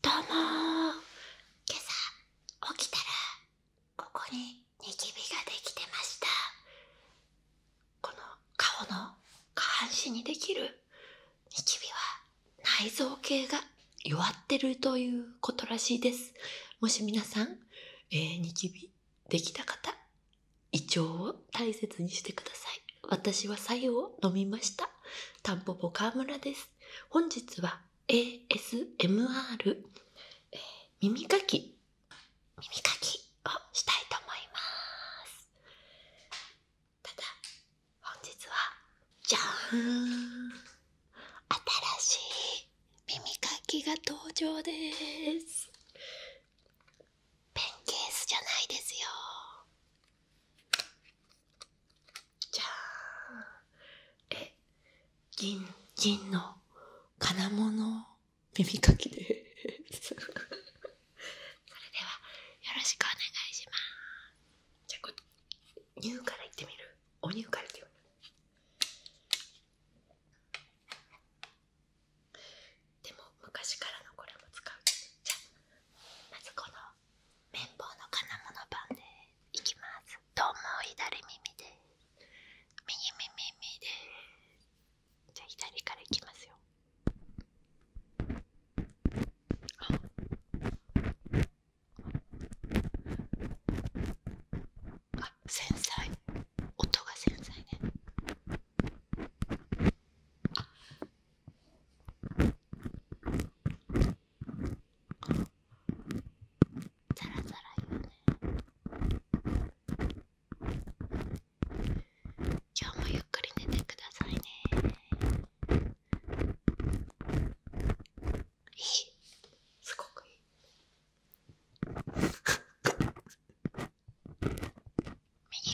どうも今朝起きたらここにニキビができてましたこの顔の下半身にできるニキビは内臓系が弱ってるということらしいですもし皆さん、ニキビできた方胃腸を大切にしてください私は白湯を飲みましたタンポポ川村です本日は ASMR、耳かき耳かきをしたいと思いますただ本日はじゃーん新しい耳かきが登場ですペンケースじゃないですよじゃあ…んえ銀銀の金物耳かきでそれではよろしくお願いしますじゃあこニューからいってみるおニューからいってみるでも昔からのこれも使うじゃあまずこの綿棒の金物版でいきますどうも左耳で右耳でじゃあ左からいきますよああ繊細音が繊細ねあザラザラよね今日もゆっくり寝てくださいねえいすごくいいみぎ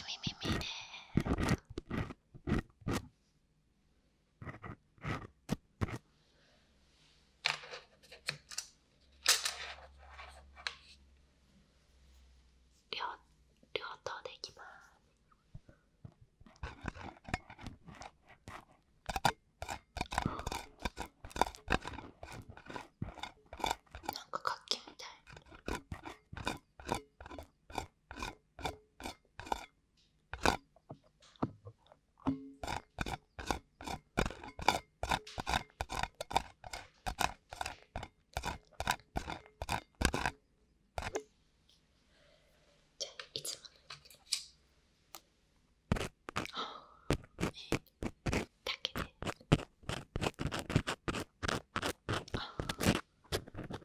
みみみで両両頭でいきます。なんか楽器みたい。じゃあいつものああ、えだけでああ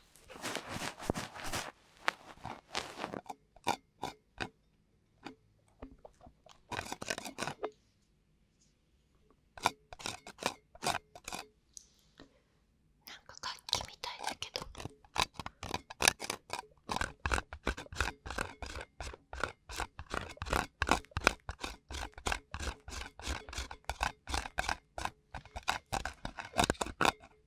なんか楽器みたいだけど。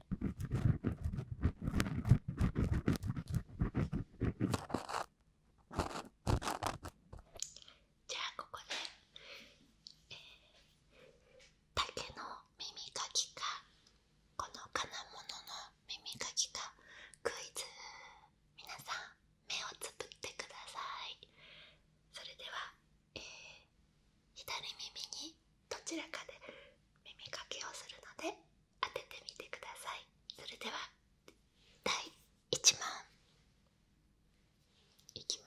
じゃあここで、えー、竹の耳かきかこの金物の耳かきかクイズ皆さん目をつぶってくださいそれでは、えー、左耳にどちらかで耳かきをするので当ててみてくださいそれでは第1問いきまーす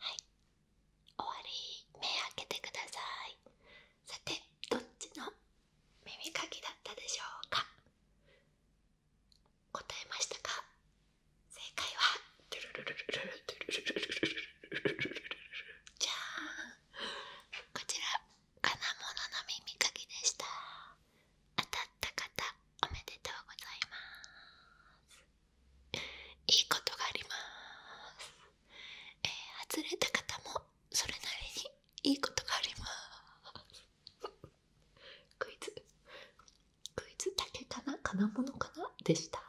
はい終わり目開けてくださいさてどっちの耳かきだったでしょうか答えましたか正解はじゃあ、こちら金物の耳かきでした当たった方おめでとうございますいいことがあります、えー、外れた方もそれなりにいいことがあります クイズクイズだけかな金物かなでした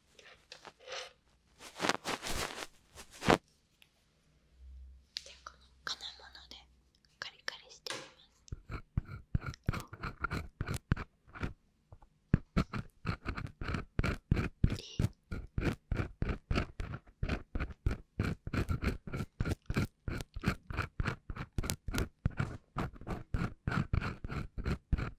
じゃあこの金物でカリカリしてみます。い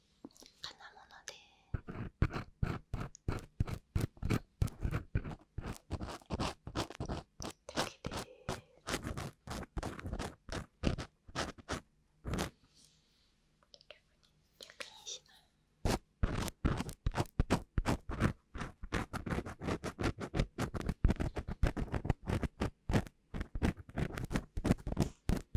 金物でだけで逆にしない。こ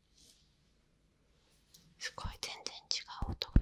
すごい全然違う音が。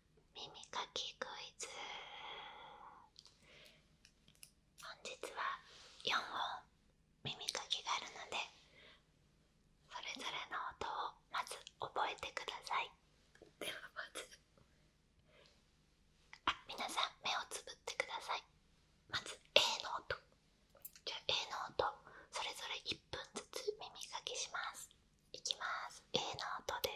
耳かきクイズ本日は4音。耳かきがあるのでそれぞれの音をまず覚えてくださいではまずあ皆さん目をつぶってくださいまず A の音じゃあ A の音それぞれ1分ずつ耳かきしますいきます。A の音です。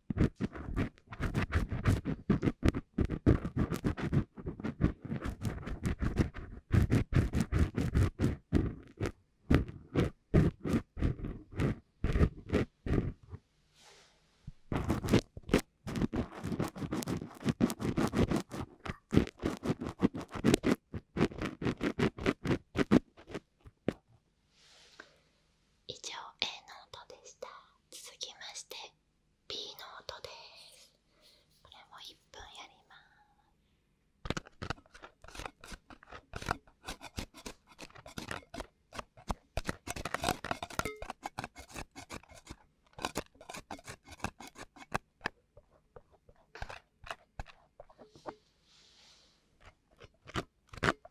以上 A ノートでした続きまして B の音ですこれも1分やります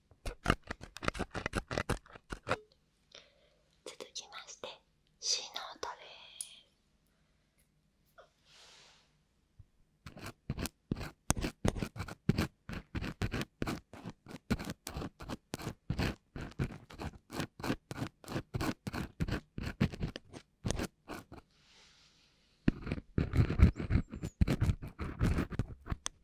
続きまして C ートです。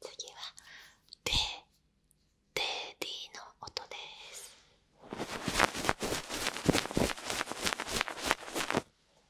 次はデデディの音です。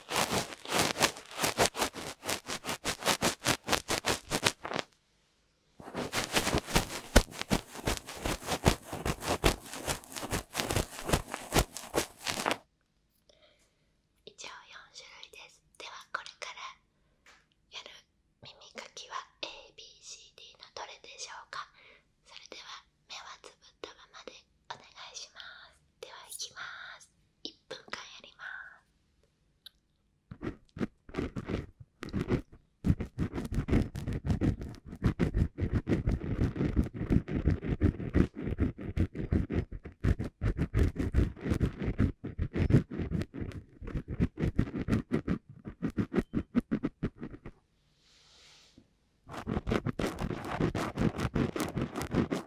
以上4種類ですではこれからやる耳かきは ABCD のどれでしょうかそれでは目はつぶったままでお願いしますではいきます1分間やります。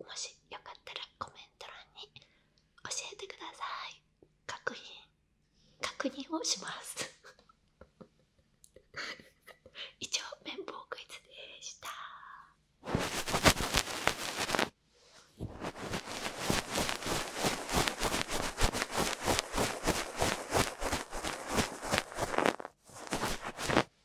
もしよかったらコメント欄に教えてください確認確認をします以上綿棒クイズでした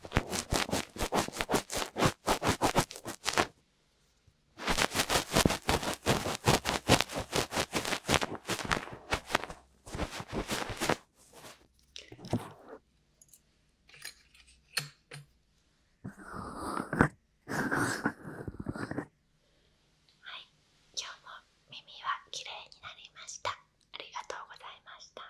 はい、今日も耳はきれになりました。ありがとうございました。